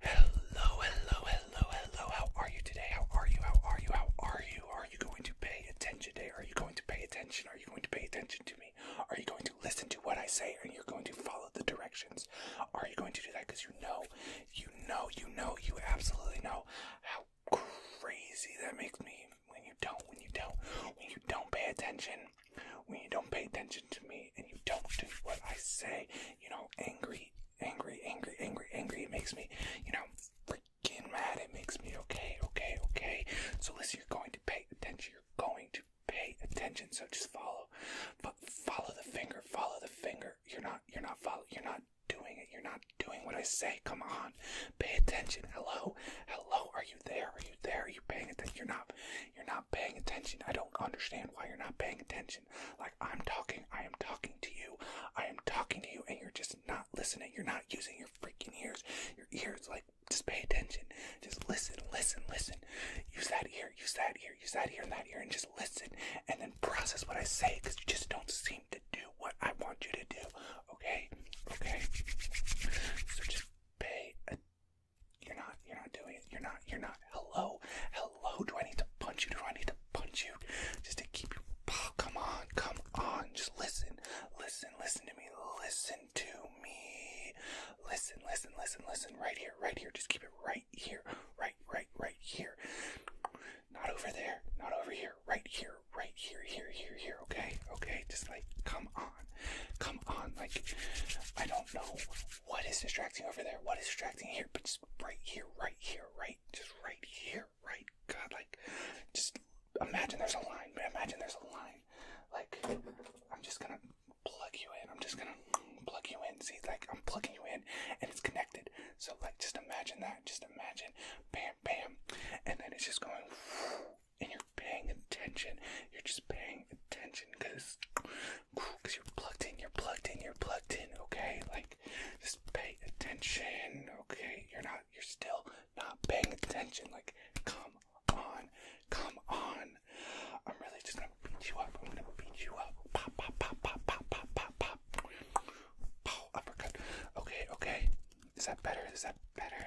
Hello, hello, hello, hello. How are you today? How are you? How are you? How are you? Are you going to pay attention today? Are you going to pay attention? Are you going to pay attention to me? Are you going to listen to what I say and you're going to follow the directions? Are you going to do that? Because you know, you know, you know, you absolutely know how crazy that makes me when you don't, when you don't, when you don't pay attention when you don't pay attention to me and you don't do what I say, you know, angry, angry, angry, angry, angry. It makes me, you know, freaking mad. It makes me okay, okay, okay. So listen, you're going to pay attention. You're going to pay attention. So just follow, follow the finger. Follow the finger. You're not. You're not following. You're not doing it. You're not doing what I say. Come on, pay attention. Hello, hello. Are you there? Are you there? Are you paying attention? You're not. You're not paying attention. I don't understand why you're not paying attention. Like, I'm talking, I am talking to you, I am talking to you, and you're just not listening. You're not using your freaking ears. Your ears, like, just pay attention. Just listen, listen, listen. Use that ear, use that ear, use that ear, and that ear, and just listen, and then process what I say, because you just don't seem to do what I want you to do. Okay? Okay? So just pay attention you're not. You're not doing it. You're not. You're not. Hello. Hello. Do I need to punch you? Do I need to punch you? Just to keep you. Oh, come on. Come on. Just listen. Listen. Listen to me. Listen to me. Listen. Listen. Listen. Listen. Right here. Right here. Just keep it right here. Right. Right. Right here. Not over there. Not over here. Right here. Right here. Here. Here. Here. Okay. Okay. Just like. Come on. Come on. Like, I don't know what is distracting over there, what is distracting here, but just right here, right here, right, just right here, right. God, like, just imagine there's a line. man. Imagine there's a line. Like, I'm just gonna plug you in. I'm just gonna plug you in. See, like, I'm plugging you in and it's connected. So, like, just imagine that. Just imagine. Bam, bam. And then it's just going and you're paying attention. You're just paying attention because cause you're plugged in, you're plugged in, you're plugged in, okay? Like, just pay attention, okay? You're not, you're still not paying attention. Like, come on, come on. I'm really just gonna beat you up. I'm gonna beat you up. Pop, pop, pop, pop, pop, pop, pop, pop. Oh, Pow, uppercut. Okay, okay. Is that better? Is that better?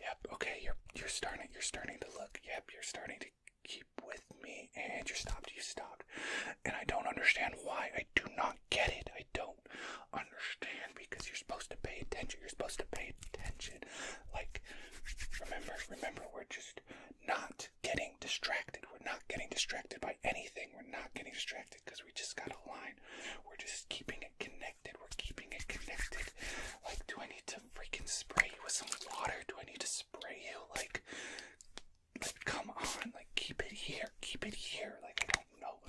Yep. Okay. You're you're starting. You're starting to look. Yep. You're starting to keep with me. And you stopped. You stopped. And I don't understand why. I do not get it. I don't understand because you're supposed to pay attention. You're supposed to pay attention. Like, remember, remember, we're just not getting distracted. We're not getting distracted by anything. We're not getting distracted because we just got a line. We're just keeping it connected. We're keeping it connected. Like, do I need to freaking spray you with some water? Do I need to spray you? Like, come on. Like, keep it here. Keep it here. Like, I don't know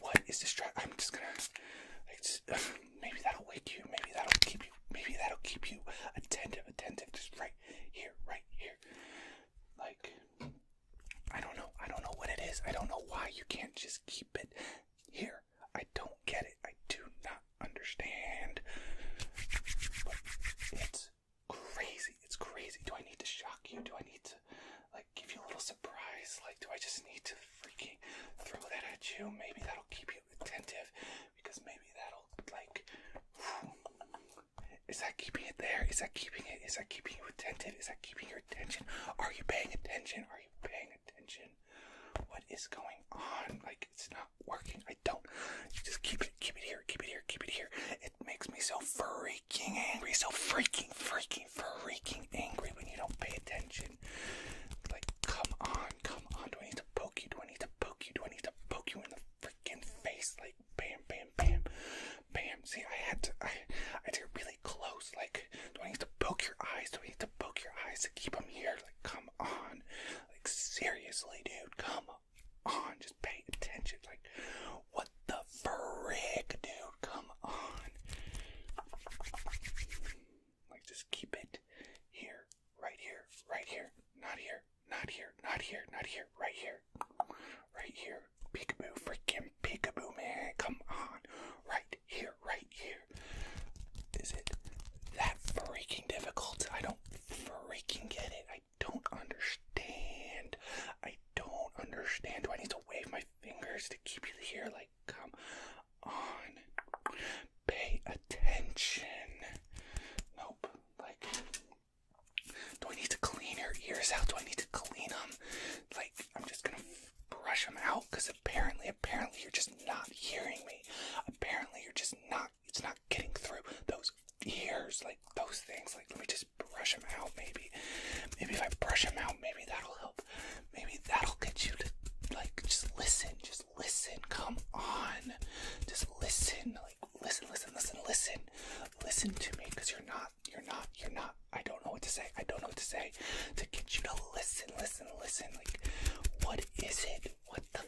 what is this distracting. I'm just gonna. maybe that'll wake you. Maybe that'll keep you. Maybe that'll keep you attentive. Attentive. Just right here. Right here. Like. I don't know. I don't know what it is. I don't know why you can't just keep it here. I don't get it. I do not understand. But it's crazy. It's crazy. Do I need to shock you? Do I need to like give you a little surprise? Like do I just need to freaking throw that at you? Maybe that'll keep you attentive because maybe that'll like Is that keeping it there? Is that keeping it? Is that keeping you attentive? Is that keeping you attention? Are you paying attention? Are you paying attention? What is going on? Like it's not working. I don't. You just keep it, keep it here, keep it here, keep it here. It makes me so freaking angry, so freaking, freaking, freaking angry when you don't pay attention. Like, come on, come on. Do I need to poke you? Do I need to poke you? Do I need to poke you in the freaking face? Like, bam, bam, bam. Bam. See, I had to. I, had to really close. Like, do I need to poke your eyes? Do I need to poke your eyes to keep them here? Like, come on. Like, seriously, dude. Come on. Just pay attention. Like, what the frick, dude? Come on. Like, just keep it here. Right here. Right here. Not here. Not here. Not here. Not here. Right here. Right here. Peekaboo. Freaking peekaboo, man. Come on. Right here. Right here. Is it that freaking difficult? I don't freaking get it. I don't understand. I don't understand. Do I need to wave my fingers to keep you here? Like, come on. Pay attention. Nope. Like, do I need to clean your ears out? Do I need to clean them? Like, I'm just gonna brush them out because apparently, apparently, you're just not hearing me. Apparently, you're just not, it's not getting through those ears, like those things. Like, let me just brush them out, maybe. Maybe if I brush them out, maybe that'll help. Maybe that'll get you to, like, just listen, just listen. Come on, just listen listen, listen, listen, listen, listen to me, because you're not, you're not, you're not. I don't know what to say. I don't know what to say to get you to listen, listen, listen. Like, what is it? What the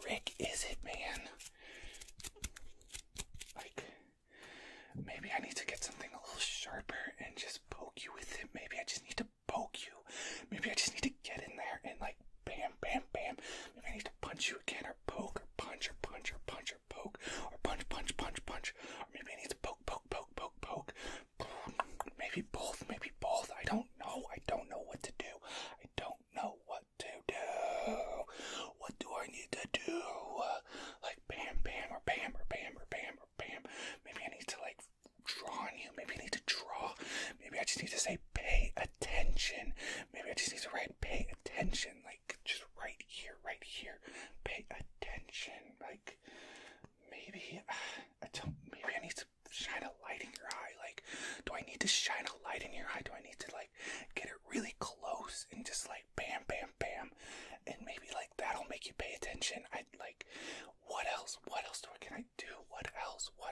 frick is it, man? Like, maybe I need to get something a little sharper and just poke you with it. Maybe I just need to poke you. Maybe I just need to get in there and like, bam, bam, bam. Maybe I need to punch you again or or poke or punch or punch or punch or poke or punch, punch, punch, punch. Or maybe I need to poke, poke, poke, poke, poke. Maybe both, maybe both. I don't know. I don't know what to do. I don't know what to do. What do I need to do? Like bam, bam, or bam, or bam, or bam, or bam. Maybe I need to like draw on you. Maybe I need to draw. Maybe I just need to say pay attention attention. Maybe I just need to write pay attention, like just right here, right here. Pay attention. Like maybe I don't maybe I need to shine a light in your eye. Like, do I need to shine a light in your eye? Do I need to like get it really close and just like bam bam bam and maybe like that'll make you pay attention. I like what else? What else do I can I do? What else? What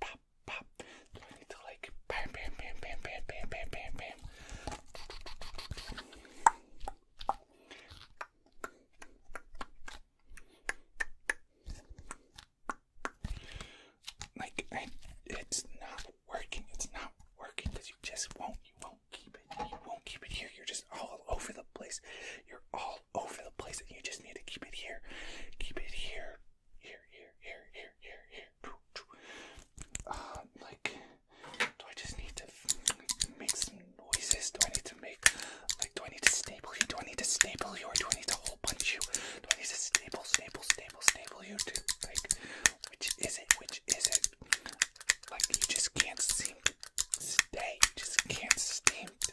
pop, pop. Do I need to like bam, bam, bam, bam, bam, bam, bam, bam, bam? Like, I, it's not working. It's not working because you just won't. You won't keep it. You won't keep it here. You're just all over the place. You're all all over the place, and you just need to keep it here, keep it here, here, here, here, here, here, here. Uh, like, do I just need to make some noises? Do I need to make, like, do I need to staple you? Do I need to staple you, or do I need to hole punch you? Do I need to staple, staple, staple, staple you? To like, which is it? Which is it? Like, you just can't seem to stay. You just can't seem to.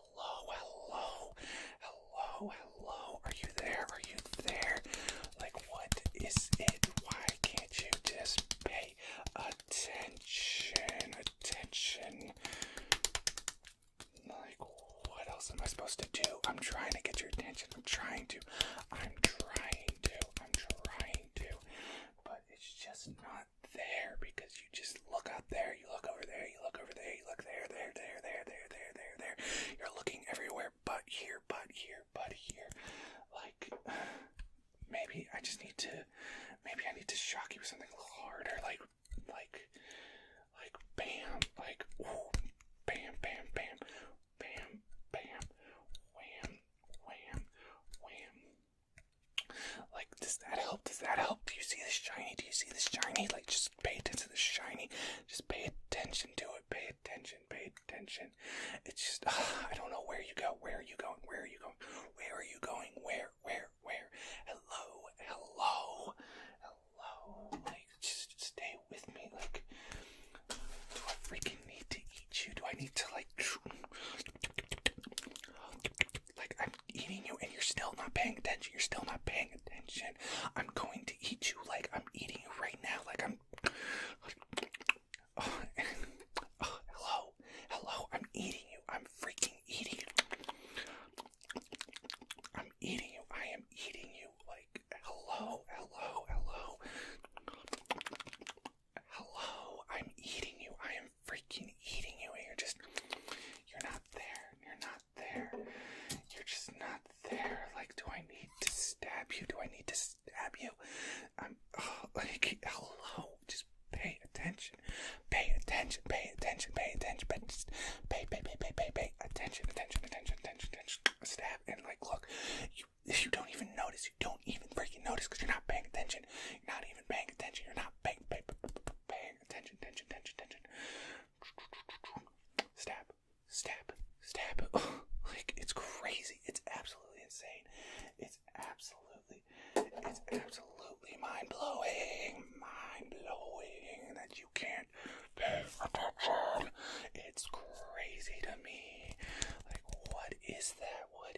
hello, hello, hello, hello. Are you there? Are you there? Like, what is it? Why can't you just pay attention? Attention. Like, what else am I supposed to do? I'm trying to get your attention. I'm trying to. I'm trying to. I'm trying to. But it's just not not there because you just look up there, you look over there, you look over there, you look there, there, there, there, there, there, there, there. You're looking everywhere but here, but here, but here. Like, maybe I just need to, maybe I need to shock you with something harder. Like, like, like, bam, like, ooh, bam, bam, bam, bam, bam, wham, wham, wham, like, does that help? Does that help? Do you see this shiny? Do you see this shiny? Like, just pay attention to the shiny. Just pay attention to it. Pay attention. Pay attention. It's just, I don't know where you go. Where are you going? Where are you going? Where are you going? Where? Where? Where? Hello? Hello? Hello? Like, just stay with me. Like, do I freaking need to eat you? Do I need to, like, Like, I'm eating you and you're still not paying attention. You're still not paying attention. I'm going to eat you like I'm eating you right now. Like, I'm. Oh, oh, hello. Hello. I'm eating you. I'm freaking eating you. I'm eating you. I am eating you. Like, hello. Hello. Hello. Hello, I'm eating you. I am freaking eating you. And you're just, you're not there. You're not there. You're just not there. Like, do I need to stab you? Do I need to stab you? I'm, oh, like, hello. Just pay attention. Pay attention. Pay attention. Pay attention. Pay, just pay, pay, pay, pay, pay, pay. Attention, attention, attention, attention, attention. Stab and, like, look, if you don't even notice. You don't even freaking notice because you're not paying attention. You're not even paying attention. You're not paying pay, paying attention. Attention. Attention. Attention. Stab. Stab. Stab. like it's crazy. It's absolutely insane. It's absolutely. It's absolutely mind blowing. Mind blowing that you can't pay attention. It's crazy to me. Like what is that? What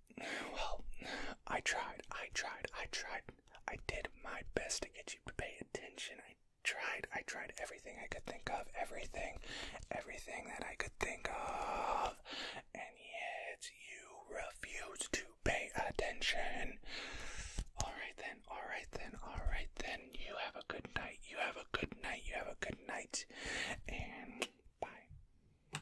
well, I tried, I tried, I tried. I did my best to get you to pay attention. I tried, I tried everything I could think of, everything, everything that I could think of, and yet you refused to pay attention. Alright then, alright then, alright then. You have a good night, you have a good night, you have a good night, and bye.